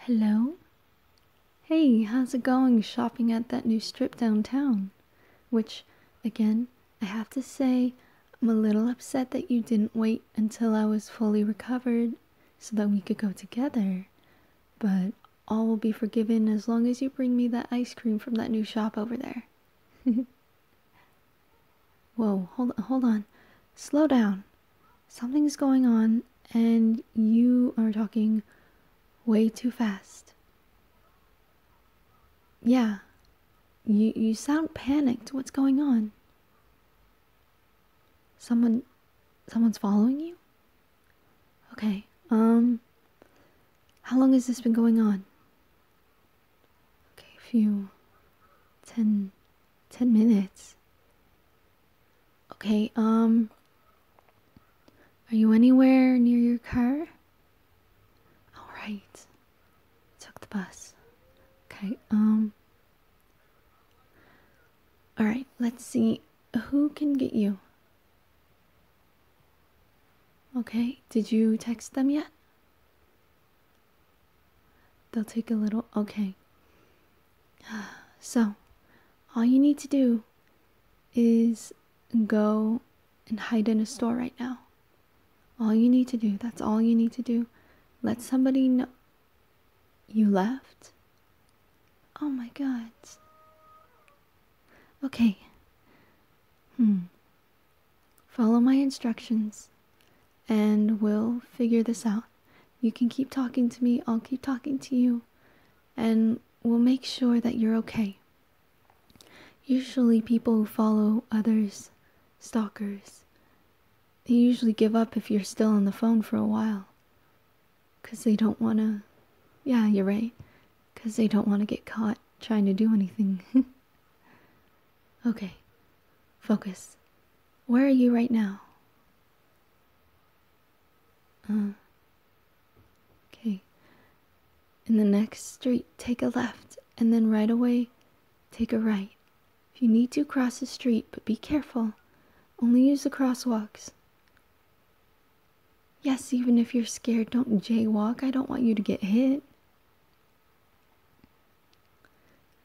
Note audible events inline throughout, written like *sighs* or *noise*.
Hello? Hey, how's it going shopping at that new strip downtown? Which, again, I have to say, I'm a little upset that you didn't wait until I was fully recovered so that we could go together. But all will be forgiven as long as you bring me that ice cream from that new shop over there. *laughs* Whoa, hold, hold on. Slow down. Something is going on, and you are talking way too fast. Yeah, you, you sound panicked. What's going on? Someone, someone's following you? Okay, um, how long has this been going on? gave few, ten ten minutes. Okay, um are you anywhere near your car? Alright. Took the bus. Okay, um Alright, let's see who can get you. Okay, did you text them yet? They'll take a little. Okay. *sighs* So, all you need to do is go and hide in a store right now. All you need to do. That's all you need to do. Let somebody know you left. Oh my god. Okay. Hmm. Follow my instructions and we'll figure this out. You can keep talking to me, I'll keep talking to you, and we'll make sure that you're okay. Usually, people who follow others, stalkers, they usually give up if you're still on the phone for a while. Because they don't want to. Yeah, you're right. Because they don't want to get caught trying to do anything. *laughs* Okay, focus. Where are you right now? Uh. okay. In the next street, take a left, and then right away, take a right. If you need to, cross the street, but be careful. Only use the crosswalks. Yes, even if you're scared, don't jaywalk. I don't want you to get hit.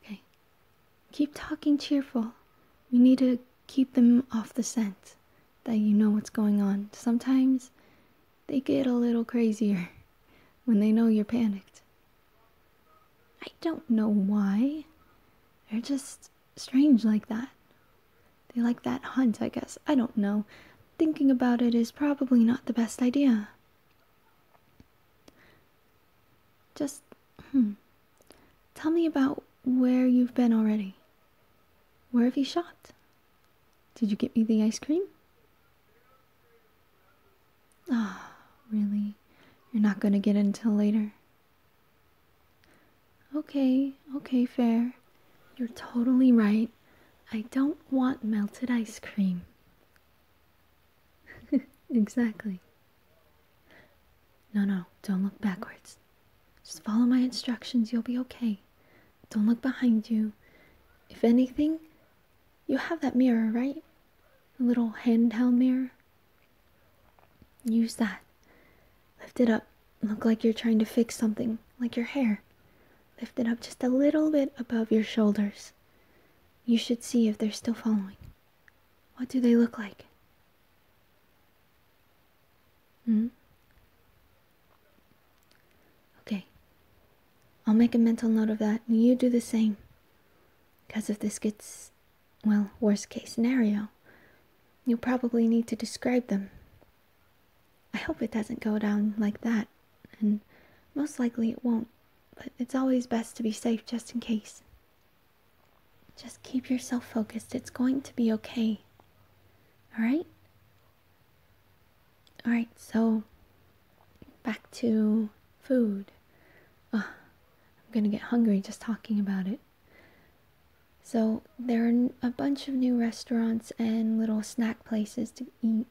Okay. Keep talking cheerful. We need to keep them off the scent that you know what's going on. Sometimes they get a little crazier *laughs* when they know you're panicked. I don't know why. They're just strange like that. They like that hunt, I guess. I don't know. Thinking about it is probably not the best idea. Just hmm, tell me about where you've been already. Where have you shot? Did you get me the ice cream? Ah, really? You're not going to get it until later. Okay, okay, fair. You're totally right. I don't want melted ice cream. *laughs* exactly. No, no, don't look backwards. Just follow my instructions, you'll be okay. Don't look behind you. If anything, you have that mirror, right? A little handheld mirror. Use that. Lift it up. Look like you're trying to fix something, like your hair. Lift it up just a little bit above your shoulders. You should see if they're still following. What do they look like? Hmm? Okay. I'll make a mental note of that, and you do the same. Because if this gets, well, worst case scenario, you'll probably need to describe them. I hope it doesn't go down like that, and most likely it won't, but it's always best to be safe just in case. Just keep yourself focused. It's going to be okay. All right? All right, so back to food. I'm going to get hungry just talking about it. So, there are a bunch of new restaurants and little snack places to eat.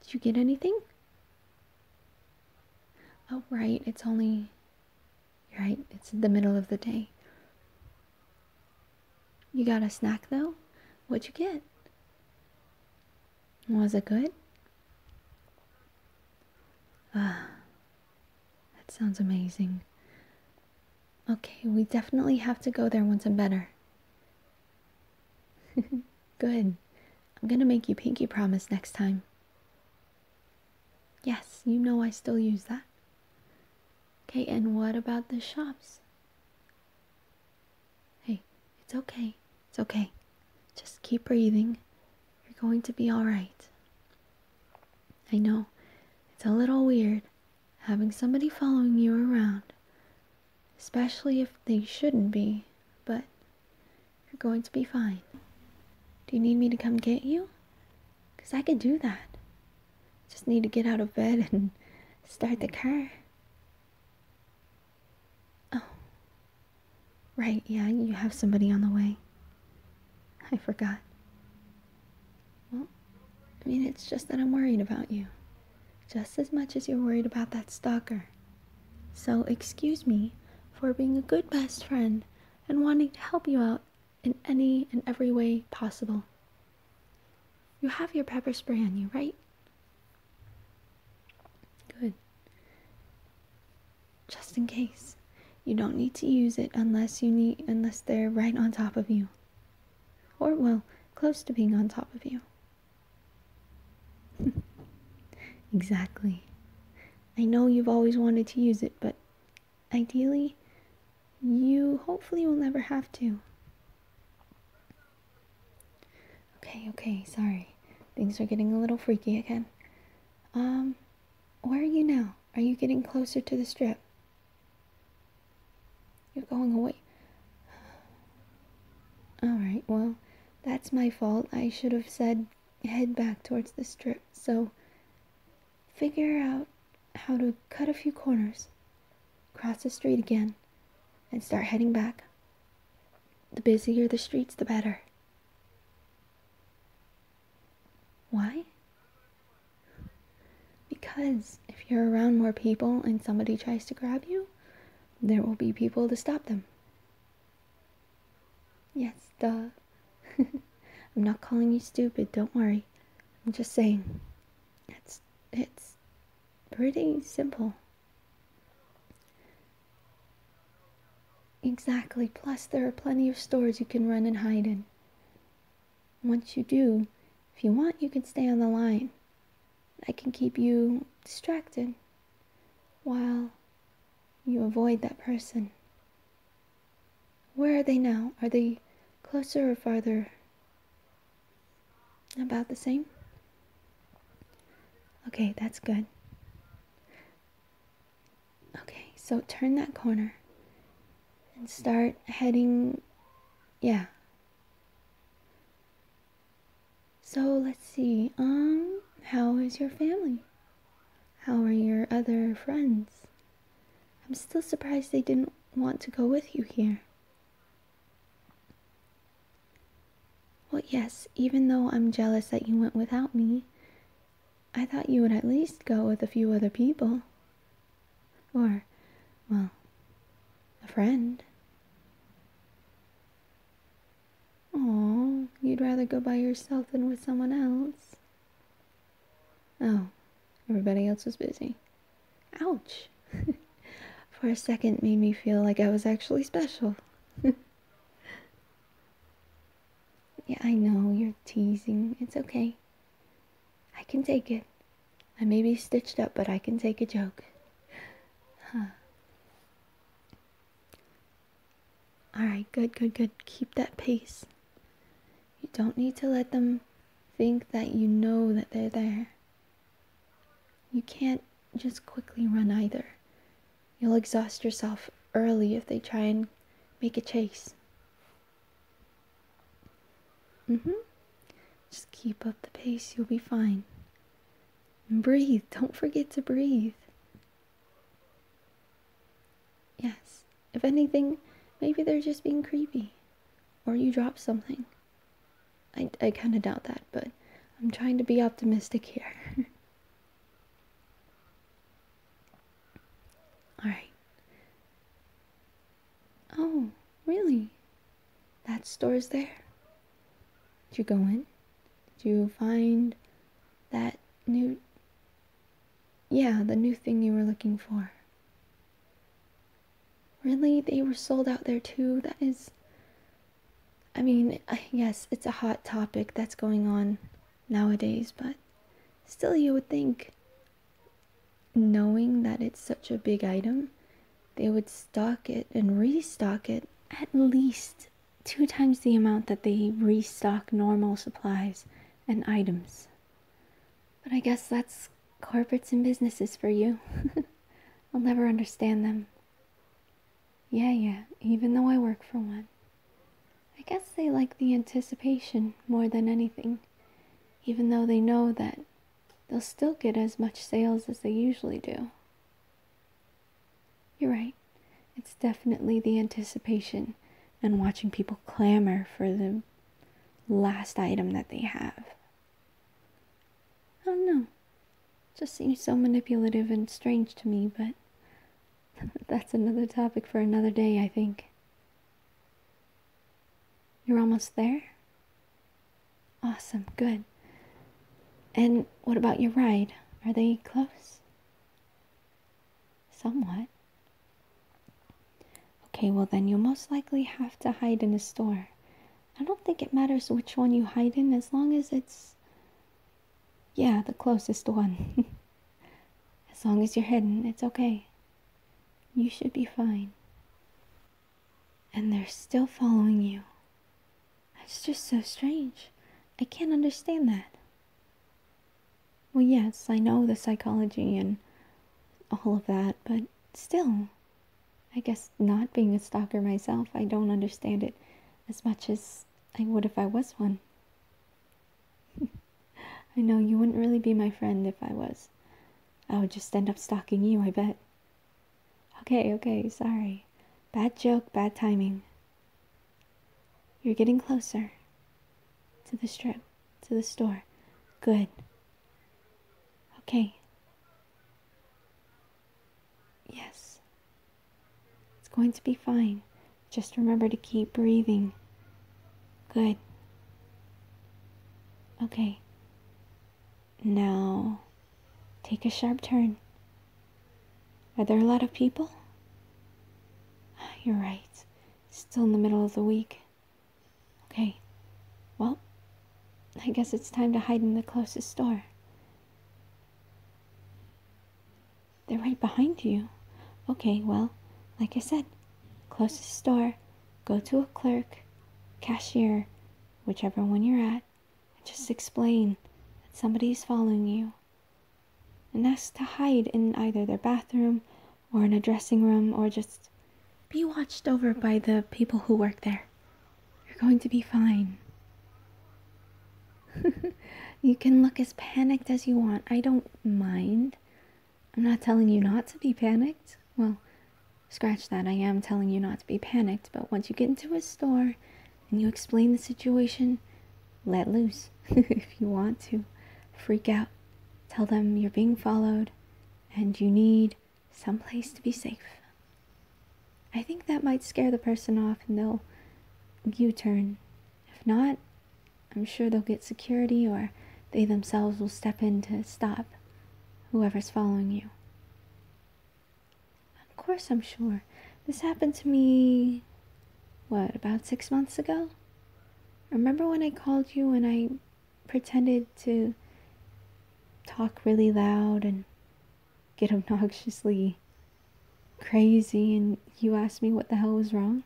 Did you get anything? Oh, right, it's only. right, it's the middle of the day. You got a snack though? What'd you get? Was it good? Ah, that sounds amazing. Okay, we definitely have to go there once I'm better. *laughs* good. I'm gonna make you pinky promise next time. Yes, you know I still use that. Okay, and what about the shops? Hey, it's okay. It's okay. Just keep breathing. You're going to be alright. I know it's a little weird having somebody following you around, especially if they shouldn't be, but you're going to be fine. Do you need me to come get you? Because I can do that. Just need to get out of bed and start the car. Oh. Right, yeah, you have somebody on the way. I forgot. Well, I mean, it's just that I'm worried about you. Just as much as you're worried about that stalker. So excuse me for being a good best friend and wanting to help you out in any and every way possible. You have your pepper spray on you, right? Good. Just in case. You don't need to use it unless you need unless they're right on top of you. Or well, close to being on top of you. *laughs* exactly. I know you've always wanted to use it, but ideally, you hopefully will never have to. Okay, okay, sorry. Things are getting a little freaky again. Um, where are you now? Are you getting closer to the strip? You're going away. *sighs* Alright, well, that's my fault. I should have said head back towards the strip, so figure out how to cut a few corners, cross the street again, and start heading back. The busier the streets, the better. Why? Because if you're around more people and somebody tries to grab you, there will be people to stop them. Yes, duh. *laughs* I'm not calling you stupid, don't worry. I'm just saying it's it's pretty simple. Exactly. Plus there are plenty of stores you can run and hide in. Once you do, if you want, you can stay on the line. I can keep you distracted while you avoid that person. Where are they now? Are they closer or farther? About the same? Okay, that's good. Okay, so turn that corner and start heading. Yeah. So let's see. Um, how is your family? How are your other friends? I'm still surprised they didn't want to go with you here. Well, yes, even though I'm jealous that you went without me, I thought you would at least go with a few other people. Or, well, a friend. Oh, you'd rather go by yourself than with someone else. Oh, everybody else was busy. Ouch! *laughs* For a second, made me feel like I was actually special. *laughs* yeah, I know, you're teasing. It's okay. I can take it. I may be stitched up, but I can take a joke. Huh. All right, good, good, good. Keep that pace. You don't need to let them think that you know that they're there. You can't just quickly run either. You'll exhaust yourself early if they try and make a chase. Mm hmm. Just keep up the pace, you'll be fine. And breathe. Don't forget to breathe. Yes, if anything, maybe they're just being creepy. Or you dropped something. I, I kind of doubt that, but I'm trying to be optimistic here. *laughs* Alright. Oh, really? That store is there? Did you go in? Did you find that new yeah, the new thing you were looking for. Really? They were sold out there too? That is. I mean, yes, it's a hot topic that's going on nowadays, but still, you would think, knowing that it's such a big item, they would stock it and restock it at least two times the amount that they restock normal supplies and items. But I guess that's corporates and businesses for you. *laughs* I'll never understand them. Yeah, yeah, even though I work for one. I guess they like the anticipation more than anything, even though they know that they'll still get as much sales as they usually do. You're right. It's definitely the anticipation and watching people clamor for the last item that they have. Oh no, just seems so manipulative and strange to me, but *laughs* that's another topic for another day, I think. You're almost there? Awesome, good. And what about your ride? Are they close? Somewhat. Okay, well then you'll most likely have to hide in a store. I don't think it matters which one you hide in as long as it's. Yeah, the closest one. *laughs* as long as you're hidden, it's okay. You should be fine. And they're still following you. That's just so strange. I can't understand that. Well, yes, I know the psychology and all of that, but still, I guess not being a stalker myself, I don't understand it as much as I would if I was one. *laughs* I know you wouldn't really be my friend if I was. I would just end up stalking you, I bet. Okay, okay, sorry. Bad joke, bad timing. You're getting closer to the strip, to the store. Good. Okay. Yes. It's going to be fine. Just remember to keep breathing. Good. Okay. Now, take a sharp turn. Are there a lot of people? You're right. Still in the middle of the week. Okay. Well, I guess it's time to hide in the closest store. They're right behind you. Okay, well, like I said, closest store, go to a clerk, cashier, whichever one you're at, and just explain that somebody's following you and asked to hide in either their bathroom or in a dressing room or just be watched over by the people who work there. You're going to be fine. *laughs* you can look as panicked as you want. I don't mind. I'm not telling you not to be panicked. Well, scratch that. I am telling you not to be panicked, but once you get into a store and you explain the situation, let loose *laughs* if you want to. Freak out. Tell them you're being followed and you need someplace to be safe. I think that might scare the person off and they'll U turn. If not, I'm sure they'll get security or they themselves will step in to stop whoever's following you. Of course, I'm sure. This happened to me, what, about six months ago? Remember when I called you and I pretended to talk really loud and get *laughs* obnoxiously crazy and you asked me what the hell was wrong?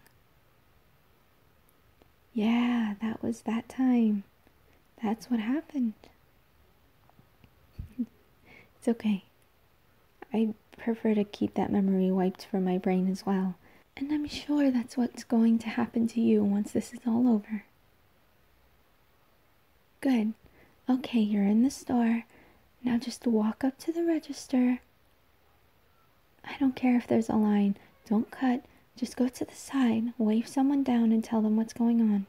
Yeah, that was that time. That's what happened. *laughs* it's okay. I prefer to keep that memory wiped from my brain as well. And I'm sure that's what's going to happen to you once this is all over. Good. Okay, you're in the store. Now just walk up to the register. I don't care if there's a line. Don't cut. Just go to the side, wave someone down, and tell them what's going on.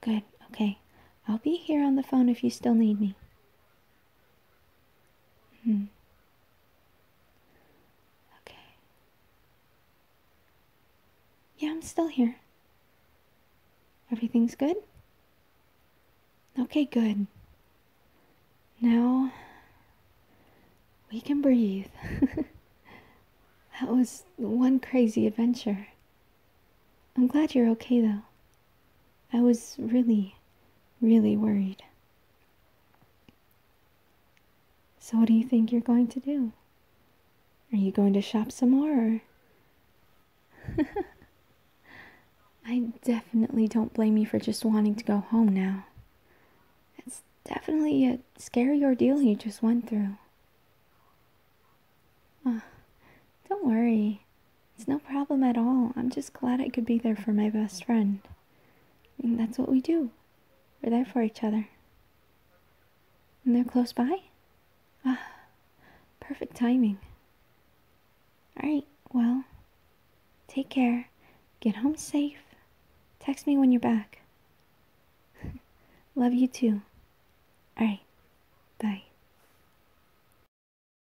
Good. Okay. I'll be here on the phone if you still need me. Mm. Okay. Yeah, I'm still here. Everything's good? Okay, good. Now we can breathe. *laughs* that was one crazy adventure. I'm glad you're okay, though. I was really, really worried. So, what do you think you're going to do? Are you going to shop some more? *laughs* I definitely don't blame you for just wanting to go home now. It's definitely a scary ordeal you just went through. Oh, don't worry. It's no problem at all. I'm just glad I could be there for my best friend. I that's what we do. We're there for each other. And they're close by? Ah, perfect timing. All right, well, take care. Get home safe. Text me when you're back. *laughs* Love you too. All right, bye.